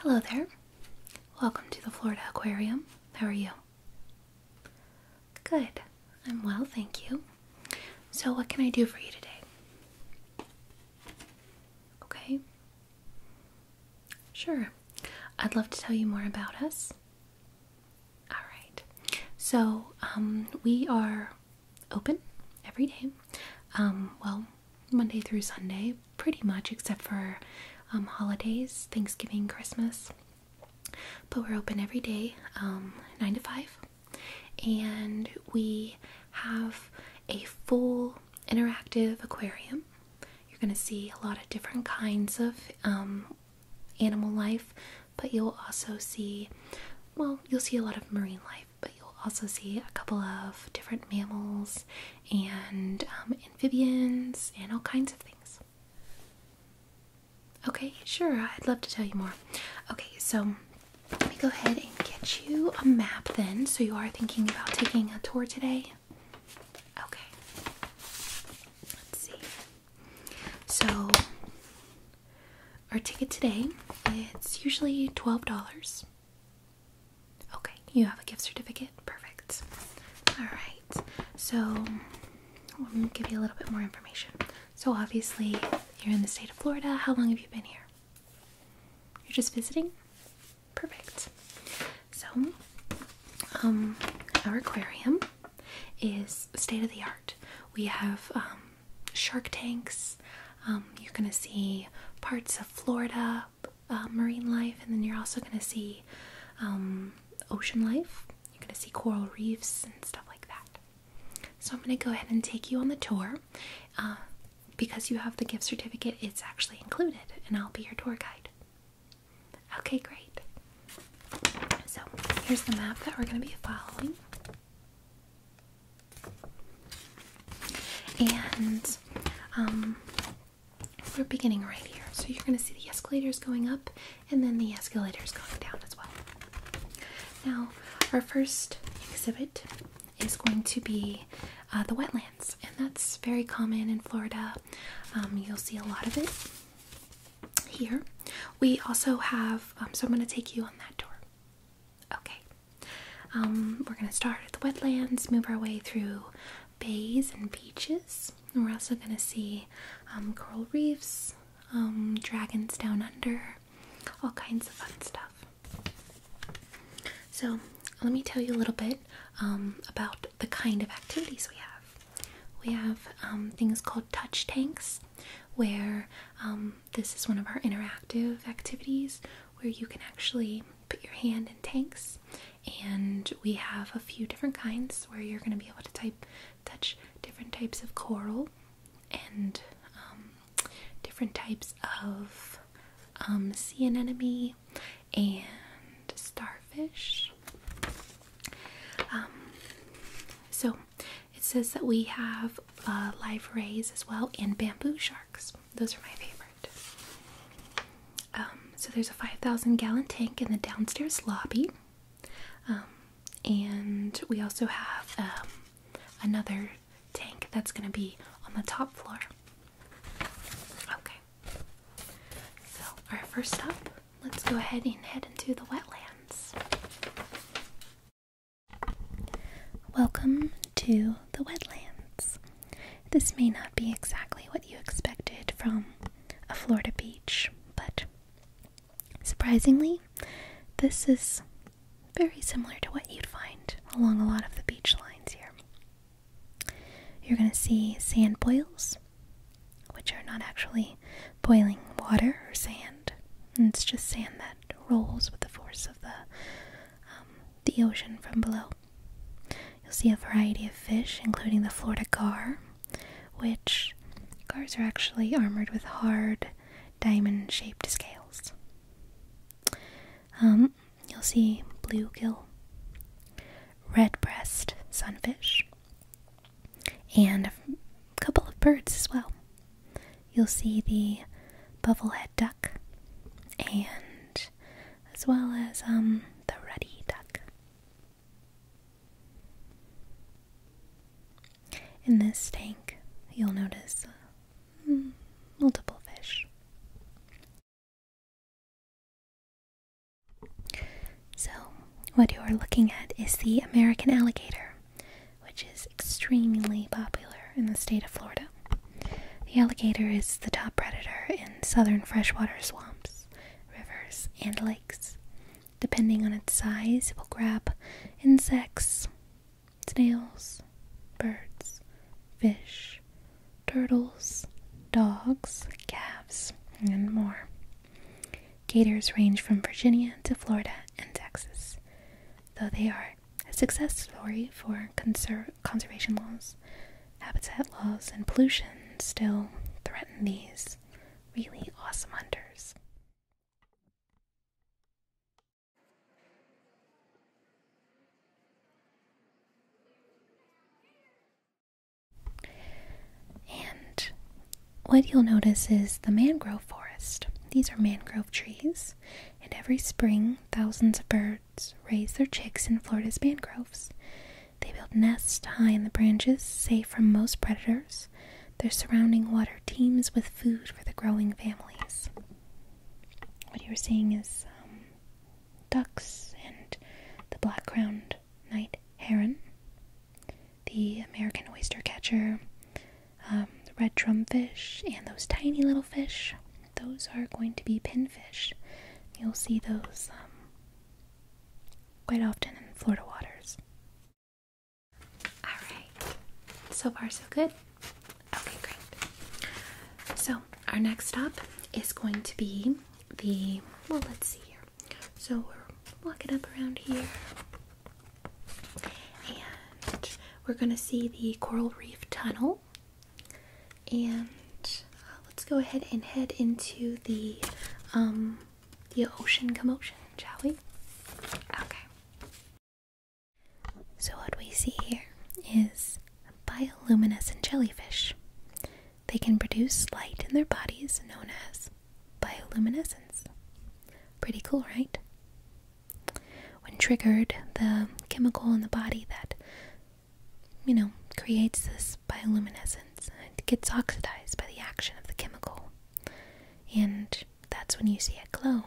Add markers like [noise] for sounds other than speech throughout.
Hello there. Welcome to the Florida Aquarium. How are you? Good. I'm well, thank you. So, what can I do for you today? Okay. Sure. I'd love to tell you more about us. All right. So, um, we are open every day. Um, well, Monday through Sunday, pretty much, except for um, holidays, Thanksgiving, Christmas. But we're open every day, 9 to 5 and we have a full interactive aquarium. You're going to see a lot of different kinds of um, animal life, but you'll also see, well, you'll see a lot of marine life, but you'll also see a couple of different mammals and um, amphibians and all kinds of things. Okay, sure, I'd love to tell you more. Okay, so let me go ahead and get you a map then. So, you are thinking about taking a tour today? Okay. Let's see. So, our ticket today it's usually $12. Okay, you have a gift certificate. Perfect. All right. So, let me give you a little bit more information. So, obviously, you're in the state of Florida. How long have you been here? You're just visiting? Perfect. So, um, our aquarium is state of the art. We have um, shark tanks. Um, you're going to see parts of Florida uh, marine life, and then you're also going to see ocean life. You're going to see coral reefs and stuff like that. So I'm going to go ahead and take you on the tour. Uh, because you have the gift certificate, it's actually included, and I'll be your tour guide. Okay, great. So here's the map that we're going to be following. And um, we're beginning right here. So you're going to see the escalators going up and then the escalators going down as well. Now, our first exhibit is going to be uh, the wetlands, and that's very common in Florida. Um, you'll see a lot of it here. We also have, um, so I'm going to take you on that tour. Okay. Um, we're going to start at the wetlands, move our way through bays and beaches. we're also going to see coral reefs, dragons down under, all kinds of fun stuff. So, let me tell you a little bit um, about the kind of activities we have. We have um, things called touch tanks, where um, this is one of our interactive activities where you can actually put your hand in tanks. And we have a few different kinds where you're going to be able to type touch different types of coral and um, different types of um, sea anemone and starfish. Um, so it says that we have uh, live rays as well and bamboo sharks. Those are my favorite. so there's a 5,000 gallon tank in the downstairs lobby. Um, and we also have um, another tank that's going to be on the top floor. Okay. So, our first up, let's go ahead and head into the wetlands. Welcome to the wetlands. This may not be exactly what you expected from a Florida beach, but Surprisingly, this is very similar to what you'd find along a lot of the beach lines here. You're going to see sand boils, which are not actually boiling water or sand. it's just sand that rolls with the force of the um, the ocean from below. You'll see a variety of fish, including the Florida gar, which cars are actually armored with hard diamond shaped scales. Um, you'll see bluegill, red breast sunfish, and a couple of birds as well. You'll see the bubblehead duck, and as well as um, the ruddy duck. In this tank, you'll notice hmm, multiple fish. So, what you are looking at is the American alligator, which is extremely popular in the state of Florida. The alligator is the top predator in southern freshwater swamps, rivers, and lakes. Depending on its size, it will grab insects, snails, birds, fish, turtles, dogs, calves, and more. Gators range from Virginia to Florida and Texas, though they are a success story for conservation laws. Habitat laws and pollution still threaten these really awesome hunters. And what you'll notice is the mangrove forest. These are mangrove trees, and every spring, thousands of birds raise their chicks in Florida's mangroves. They build nests high in the branches, safe from most predators. Their surrounding water teems with food for the growing families. What you are seeing is um, ducks and the black crowned night heron, the American oyster catcher, um, the red drumfish, and those tiny little fish. Those are going to be pinfish. You'll see those um, quite often in Florida waters. Alright, so far so good? Okay, great. So, our next stop is going to be the, well, let's see here. So, we're walking up around here, and we're going to see the Coral Reef Tunnel. And uh, let's go ahead and head into the um, the ocean commotion, shall we? Okay. So, what we see here is bioluminescent jellyfish. They can produce light in their bodies known as bioluminescence. Pretty cool, right? When triggered, the chemical in the body that, you know, creates this bioluminescence it gets oxidized by the action of the chemical. And that's when you see it glow.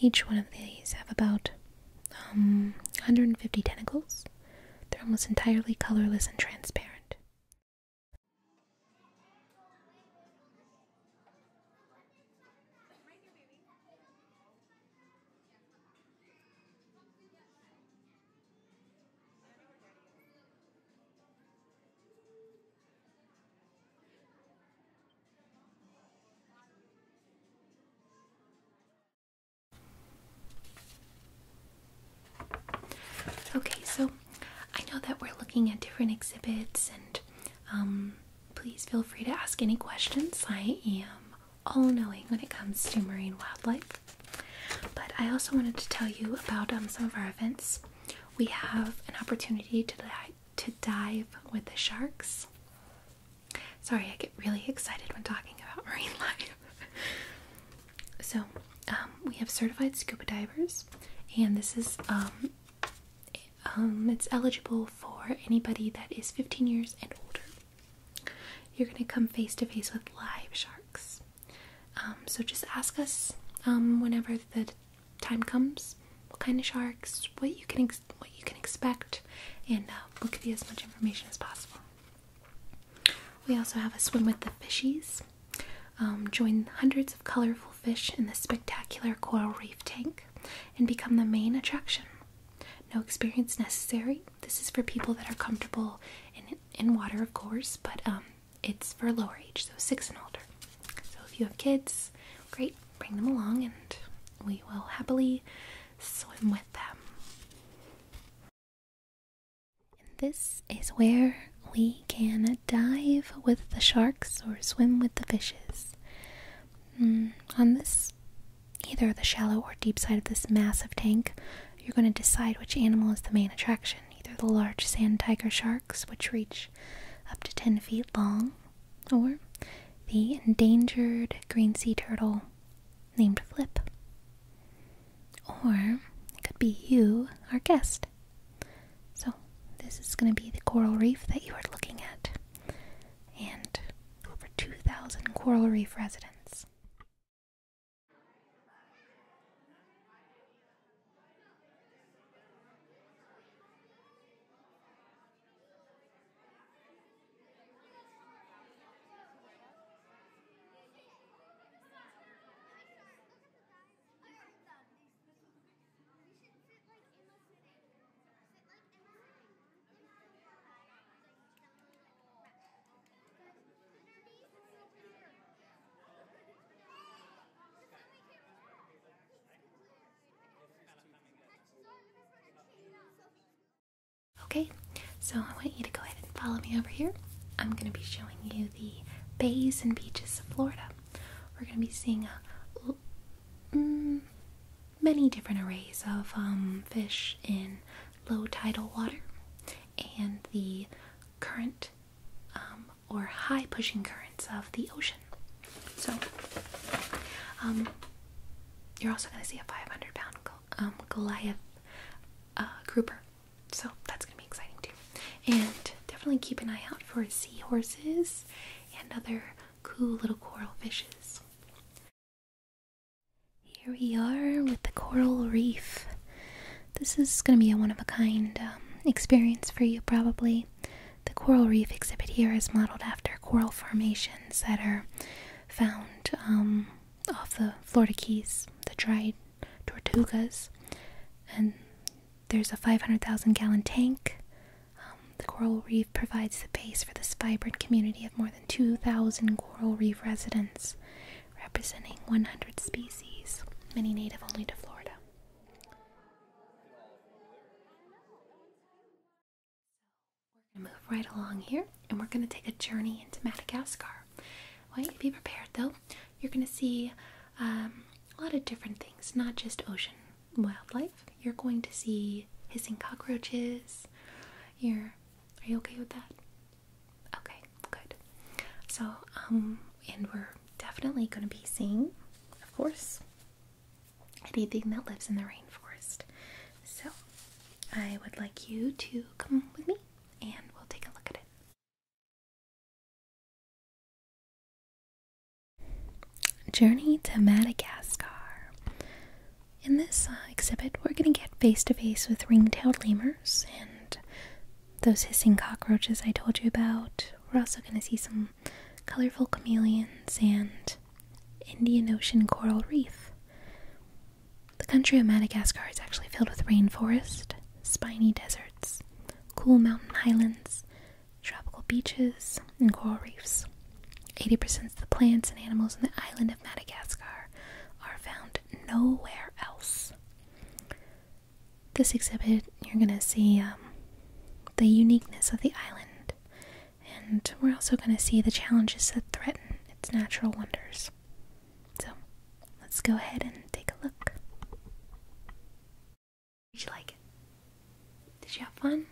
Each one of these have about 150 um, tentacles. They're almost entirely colorless and transparent. Okay, so I know that we're looking at different exhibits, and um, please feel free to ask any questions. I am all knowing when it comes to marine wildlife. But I also wanted to tell you about um, some of our events. We have an opportunity to, to dive with the sharks. Sorry, I get really excited when talking about [laughs] marine life. so, um, we have certified scuba divers, and this is um, it's eligible for anybody that is 15 years and older you're going to come face to face with live sharks. Um, so just ask us um, whenever the time comes what kind of sharks, what you can what you can expect, and uh, we'll give you as much information as possible. We also have a swim with the fishies. Um, join hundreds of colorful fish in the spectacular coral reef tank and become the main attraction. No experience necessary. This is for people that are comfortable in in water, of course, but um, it's for lower age, so six and older. So if you have kids, great, bring them along, and we will happily swim with them. And this is where we can dive with the sharks or swim with the fishes. Hmm, on this either the shallow or deep side of this massive tank, you're going to decide which animal is the main attraction. Either the large sand tiger sharks, which reach up to 10 feet long, or the endangered green sea turtle named Flip. Or it could be you, our guest. So, this is going to be the coral reef that you are looking at and over 2,000 coral reef residents. Okay, so I want you to go ahead and follow me over here. I'm going to be showing you the bays and beaches of Florida. We're going to be seeing a mm, many different arrays of um, fish in low tidal water and the current um, or high pushing currents of the ocean. So, um, you're also going to see a 500 pound Goliath uh, grouper. So, that's going to be exciting too. And definitely keep an eye out for seahorses and other cool little coral fishes. Here we are with the coral reef. This is going to be a one of a kind um, experience for you, probably. The coral reef exhibit here is modeled after coral formations that are found um, off the Florida Keys, the dried tortugas. And there's a 500,000 gallon tank, um, the coral reef provides the base for this vibrant community of more than 2,000 coral reef residents, representing 100 species, many native only to Florida. we're going to move right along here and we're going to take a journey into Madagascar. want you to be prepared though. You're going to see um, a lot of different things, not just ocean wildlife. You're going to see hissing cockroaches. You're are you okay with that? Okay, good. So, um, and we're definitely going to be seeing, of course, anything that lives in the rainforest. So, I would like you to come with me and we'll take a look at it. Journey to Madagascar. In this uh, exhibit, we're going to get face to face with ring tailed lemurs and those hissing cockroaches I told you about. We're also going to see some colorful chameleons and Indian Ocean coral reef. The country of Madagascar is actually filled with rainforest, spiny deserts, cool mountain highlands, tropical beaches, and coral reefs. 80% of the plants and animals in the island of Madagascar are found nowhere else. This exhibit, you're going to see um, the uniqueness of the island, and we're also going to see the challenges that threaten its natural wonders. So, let's go ahead and take a look. Did you like it? Did you have fun?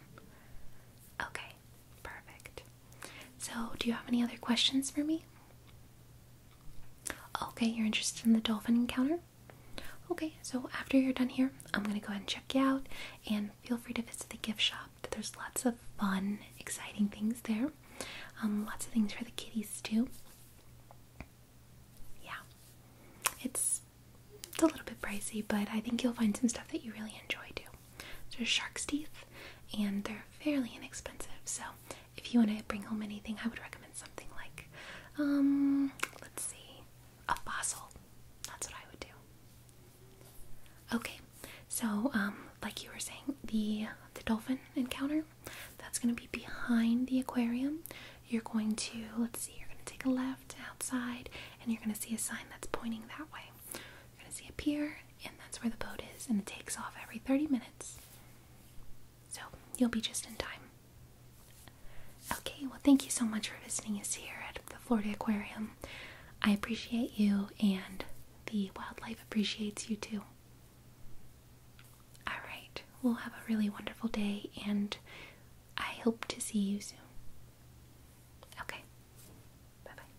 Okay, perfect. So, do you have any other questions for me? Okay, you're interested in the dolphin encounter? Okay, so after you're done here, I'm gonna go ahead and check you out and feel free to visit the gift shop. There's lots of fun, exciting things there. Um, lots of things for the kitties too. Yeah. It's it's a little bit pricey, but I think you'll find some stuff that you really enjoy too. There's shark's teeth, and they're fairly inexpensive. So if you want to bring home anything, I would recommend something like, um, let's see, a fossil. That's what I would do. Okay, so um, like you were saying, the the dolphin encounter, that's going to be behind the aquarium you're going to, let's see, you're going to take a left outside and you're going to see a sign that's pointing that way. You're going to see a pier, and that's where the boat is, and it takes off every 30 minutes. So you'll be just in time. Okay, well, thank you so much for visiting us here at the Florida Aquarium. I appreciate you, and the wildlife appreciates you too. Alright, We'll have a really wonderful day, and I hope to see you soon. Okay, bye bye.